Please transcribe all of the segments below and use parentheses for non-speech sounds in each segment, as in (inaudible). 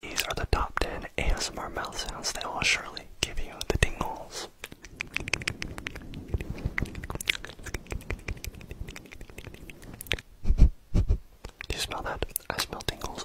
These are the top 10 ASMR mouth sounds that will surely give you the tingles. Do you smell that? I smell tingles.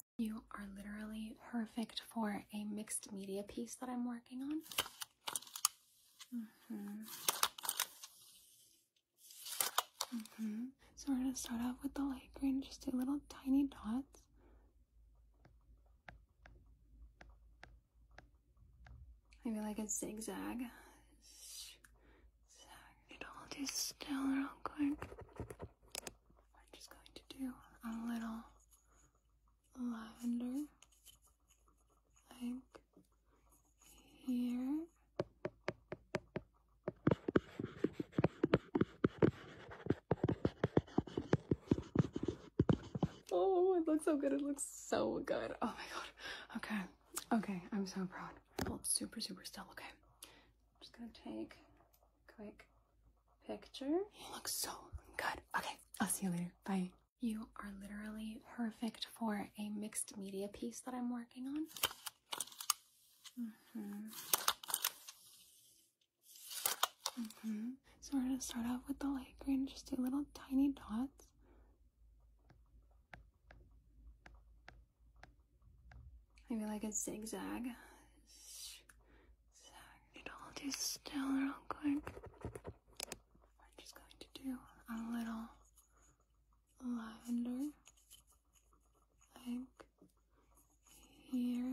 You are literally perfect for a mixed media piece that I'm working on. Mm -hmm. Mm -hmm. So we're gonna start off with the light green, just do little tiny dots. Maybe like a zigzag. Zag it all just still real quick. I'm just going to do a little lavender like here. Oh, it looks so good. It looks so good. Oh my god. Okay. Okay. I'm so proud. Hold super, super still. Okay. I'm just gonna take quick picture. You look so good. Okay, I'll see you later. Bye. You are literally perfect for a mixed media piece that I'm working on. Mm-hmm. Mm-hmm. So we're gonna start off with the light green, just do little tiny dots. Maybe like a zigzag. So I need just going to do a little lavender, like here.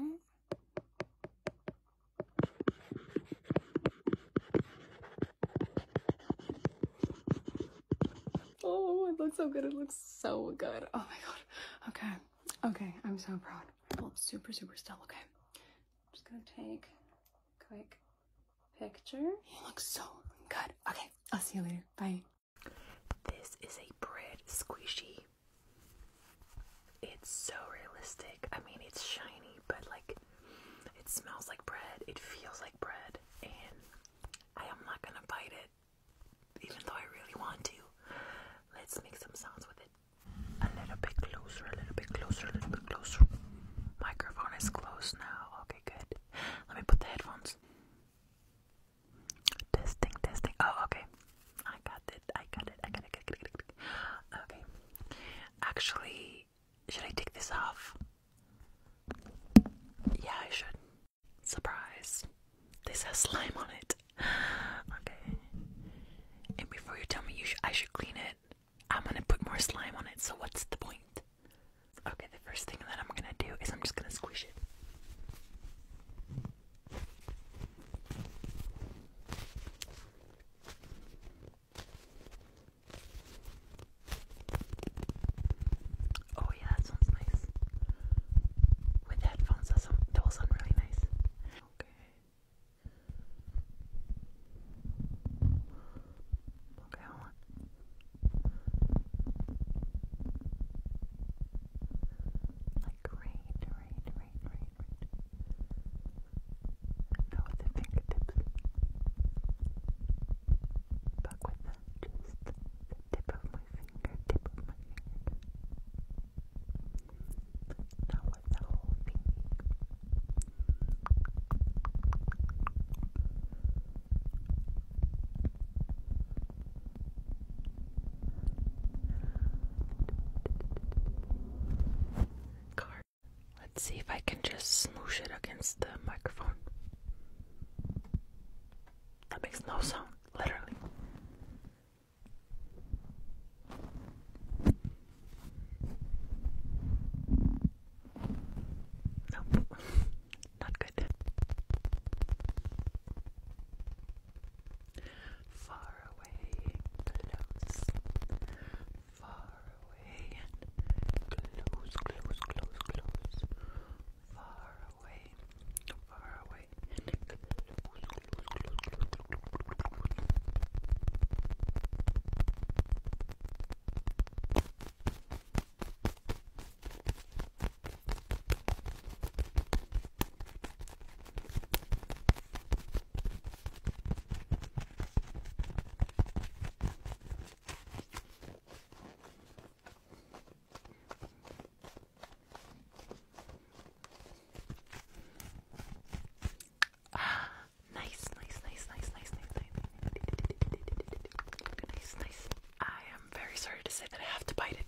Oh, it looks so good. It looks so good. Oh my god. Okay. Okay, I'm so proud. Well, super, super still. Okay, I'm just gonna take a quick picture. You look so good. Okay, I'll see you later. Bye. This is a bread squishy. It's so realistic. I mean, it's shiny, but like, it smells like bread. It feels like bread, and I am not gonna bite it even though I really want to. Let's make some sounds with it. A little bit closer, a little bit closer, a little bit closer. Microphone is close now. Okay, good. Let me put the headphones. Testing, testing. Oh, okay. I got it. I got it. I got it. Okay. Actually, should I take this off? Yeah, I should. Surprise. This has slime on it. (gasps) Okay. And before you tell me I should clean it, I'm gonna put more slime on it, so what's the point? Okay, the first thing that I'm gonna do is I'm just gonna squish it. Oh yeah, that sounds nice. With headphones, that sound that will sound really nice. Okay. Okay, hold Like right, right, right, right, right. Now with the fingertips. Back with just the tip of my Let's see if I can just smoosh it against the microphone. That makes no sound literally. Nope, not good. Far away, close. Far away, and close, close, close, close far away, far away, Ah, (sighs) nice, nice, nice, nice, nice, nice, nice. Nice, nice. I am very sorry to say that I have to bite it.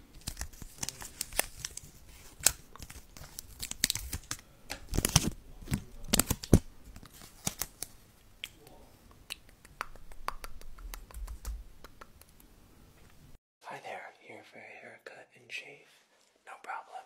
Hi there, here for a haircut and shave? No problem.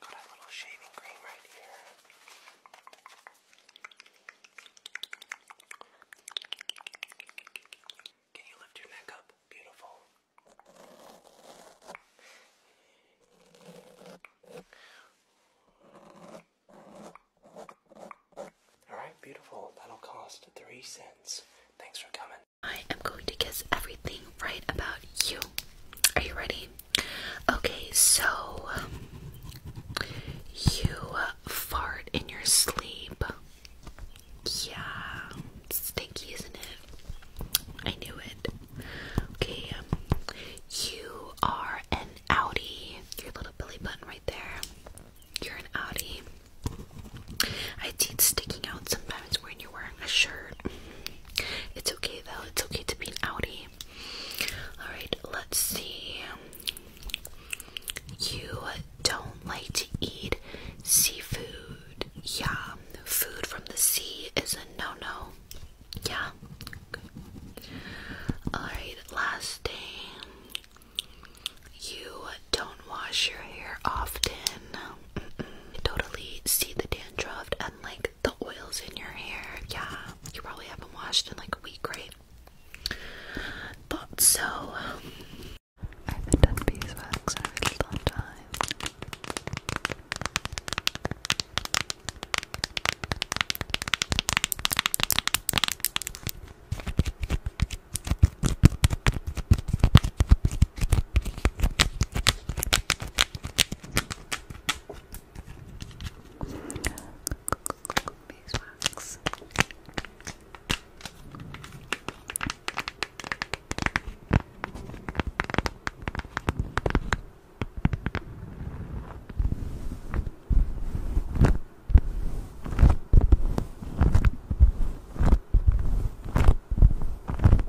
Got a little shaving cream right here. Can you lift your neck up? Beautiful. Alright, beautiful. That'll cost three cents. Thanks for coming. I am going to kiss everything right about you. Are you ready? Okay, so you fart in your sleep. Yeah, stinky, isn't it? I knew it. Okay, um, you are an outie. Your little belly button right there. You're an Audi. I see it sticking out sometimes when you're wearing a shirt. It's okay though. It's okay to be an Audi. Alright, let's see. You don't like to eat seafood. Yeah, food from the sea is a no no. Yeah. Alright, last thing. You don't wash your hair often. totally see the dandruff and like the oils in your hair. Yeah, you probably haven't washed in like a week, right? Thought so. Beeswax.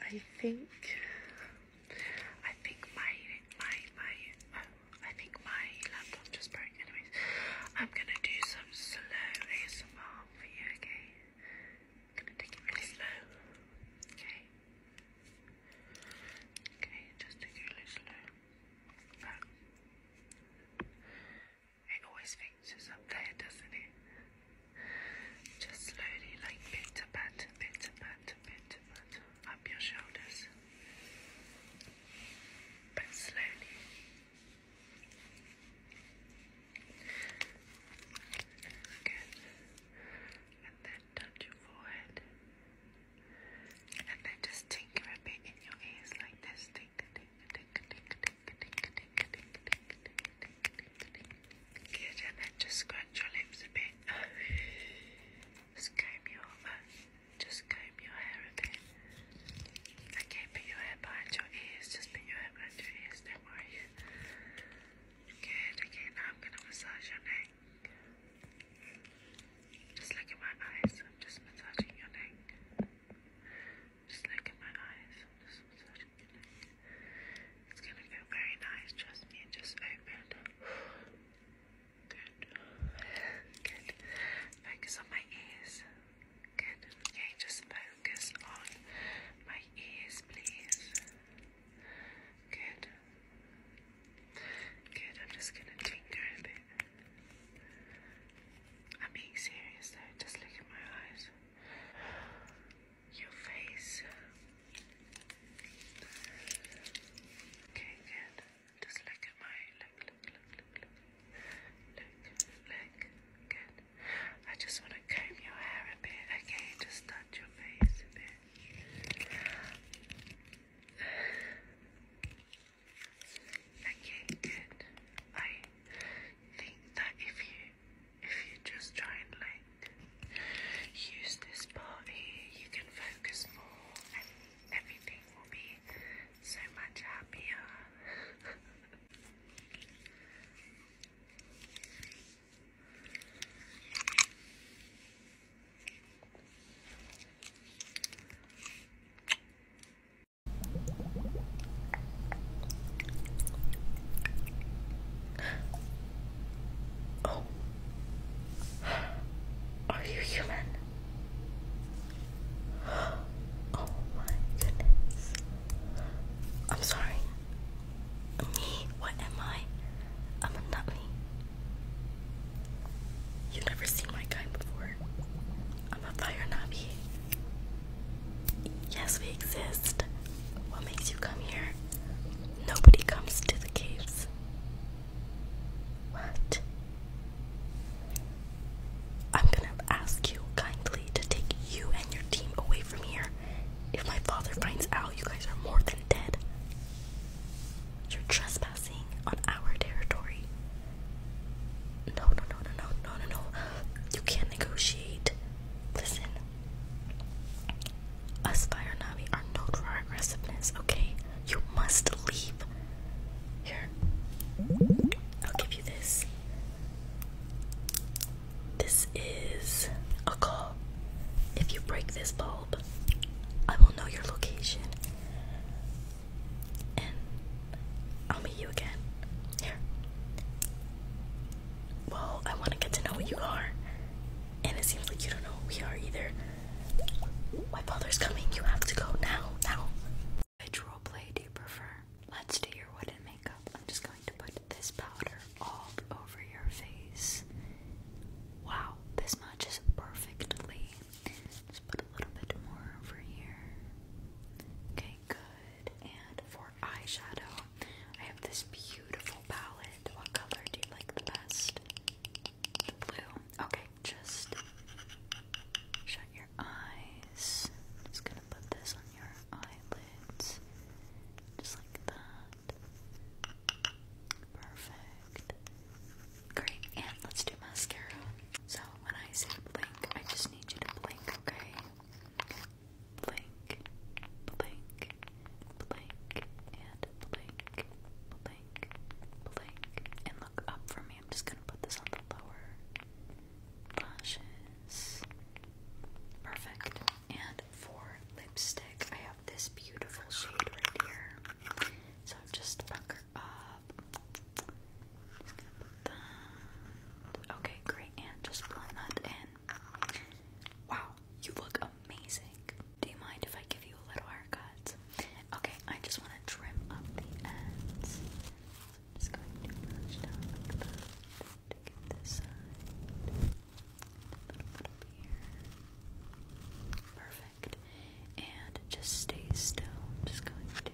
I think I think my my my oh, I think my laptop just broke. Anyways, I'm gonna do some slow ASMR for you. Okay, I'm gonna take it really slow. Okay, okay, just take it really slow. But it always thinks it's up there, doesn't it? Just slowly, like bit to pat, bit to pat, bit to pat, up your shoulders. But slowly. Good. And then touch your forehead. And then just tinker a bit in your ears like this. Tinker, tinker, tinker, tinker, tinker, tinker, tinker, tinker, tinker, tinker, tinker, Good, and then just scratch your lips a bit. just (sighs) comb your uh, just comb your hair a bit. Okay, put your hair behind your ears. Just put your hair behind your ears. Don't worry. Good. Okay, now I'm gonna massage your neck. Just look at my eyes. I'm just massaging your neck. Just look at my eyes. I'm just massaging. It's gonna feel very nice, trust me. It just opened. Good. Good. Focus on my ears. Good. Okay, just focus on my ears, please. Good. Good. I'm just gonna tinker a bit. I'm being serious though, just look at my eyes your face. Okay, good. Just look at my look, look, look, look, look, look, look. Good. I just want to comb your hair a bit. Okay, just touch your face a bit. Okay, good. I think that if you if you just try and like use this party, you can focus more and everything will be so much happier. Oh. Are you human? Oh my goodness. I'm sorry. Me? What am I? I'm not me. you never seen my kind before. I'm a fire navi. Yes, we exist. What makes you come here? Nobody comes to the caves. What? I'm gonna ask you kindly to take you and your team away from here. If my father finds out, you guys are more than dead. You're trespassing on our territory. No, no, no, no, no, no, no, You can't negotiate. Listen, us fire Navi are known for aggressiveness, okay? You must leave. Here. I'll give you this. This is a call. If you break this bulb, I will know your location. And I'll meet you again. Here. Well, I want to get to know who you are. And it seems like you don't know who we are either. My father's coming. You have to go now. Now. Which role play do you prefer? Let's do your wooden makeup. I'm just going to put this powder all over your face. Wow, this matches perfectly. Just put a little bit more over here. Okay, good. And for eyeshadow, I have this beautiful palette. What color do you like the best? The blue. Okay, just shut your eyes. just gonna put this on your eyelids. Just like that. Perfect. Great. And let's do mascara. So when I say blink, I just need you to blink, okay? blink, blink, blink, and blink, blink, blink, and look up for me. I'm just gonna put this on the lower lashes. Perfect. And for lipstick, I have this beautiful shade right here. So I'm just up. Okay, great. And just blend that in. Wow, you look amazing. Do you mind if I give you a little haircut? Okay, I just want to trim up the ends. I'm just going to brush this side. A little bit here. Perfect. And just stay still. I'm just going to cut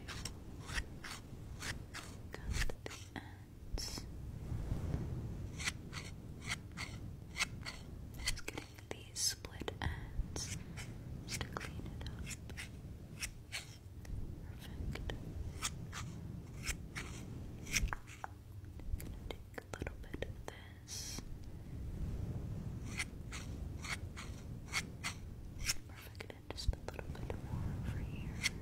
the end. Just getting these split ends to clean it up. Perfect. take a little bit of this. Perfect just a little bit more over here. A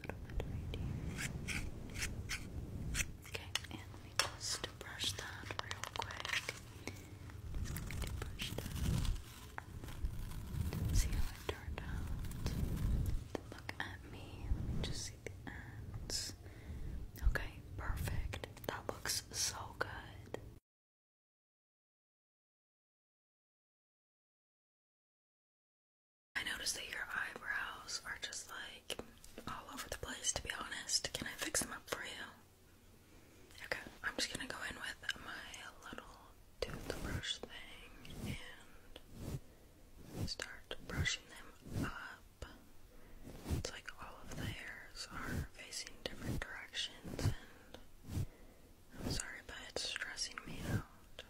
little bit right here. Okay, and let just brush that real quick. brush that. See how it turned out. Look at me just see the ends. Okay, perfect. That looks so good. I notice that your eyebrows are just like all over the place, to be honest. Can I fix them up for you? Okay, I'm just gonna go in with my little toothbrush thing and start brushing them up. It's like all of the hairs are facing different directions I'm sorry, but it's stressing me out.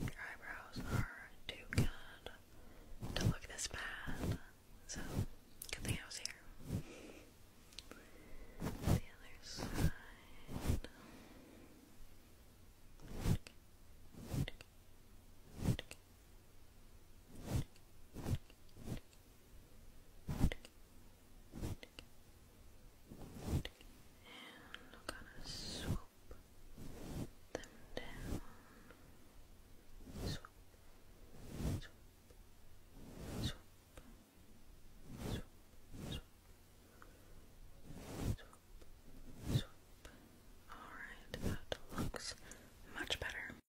Your eyebrows are too good to look this bad, so good thing I was here. The other and we gonna swoop them down. Swoop, swoop, swoop, swoop, swoop, swoop, swoop. Alright, that looks much better.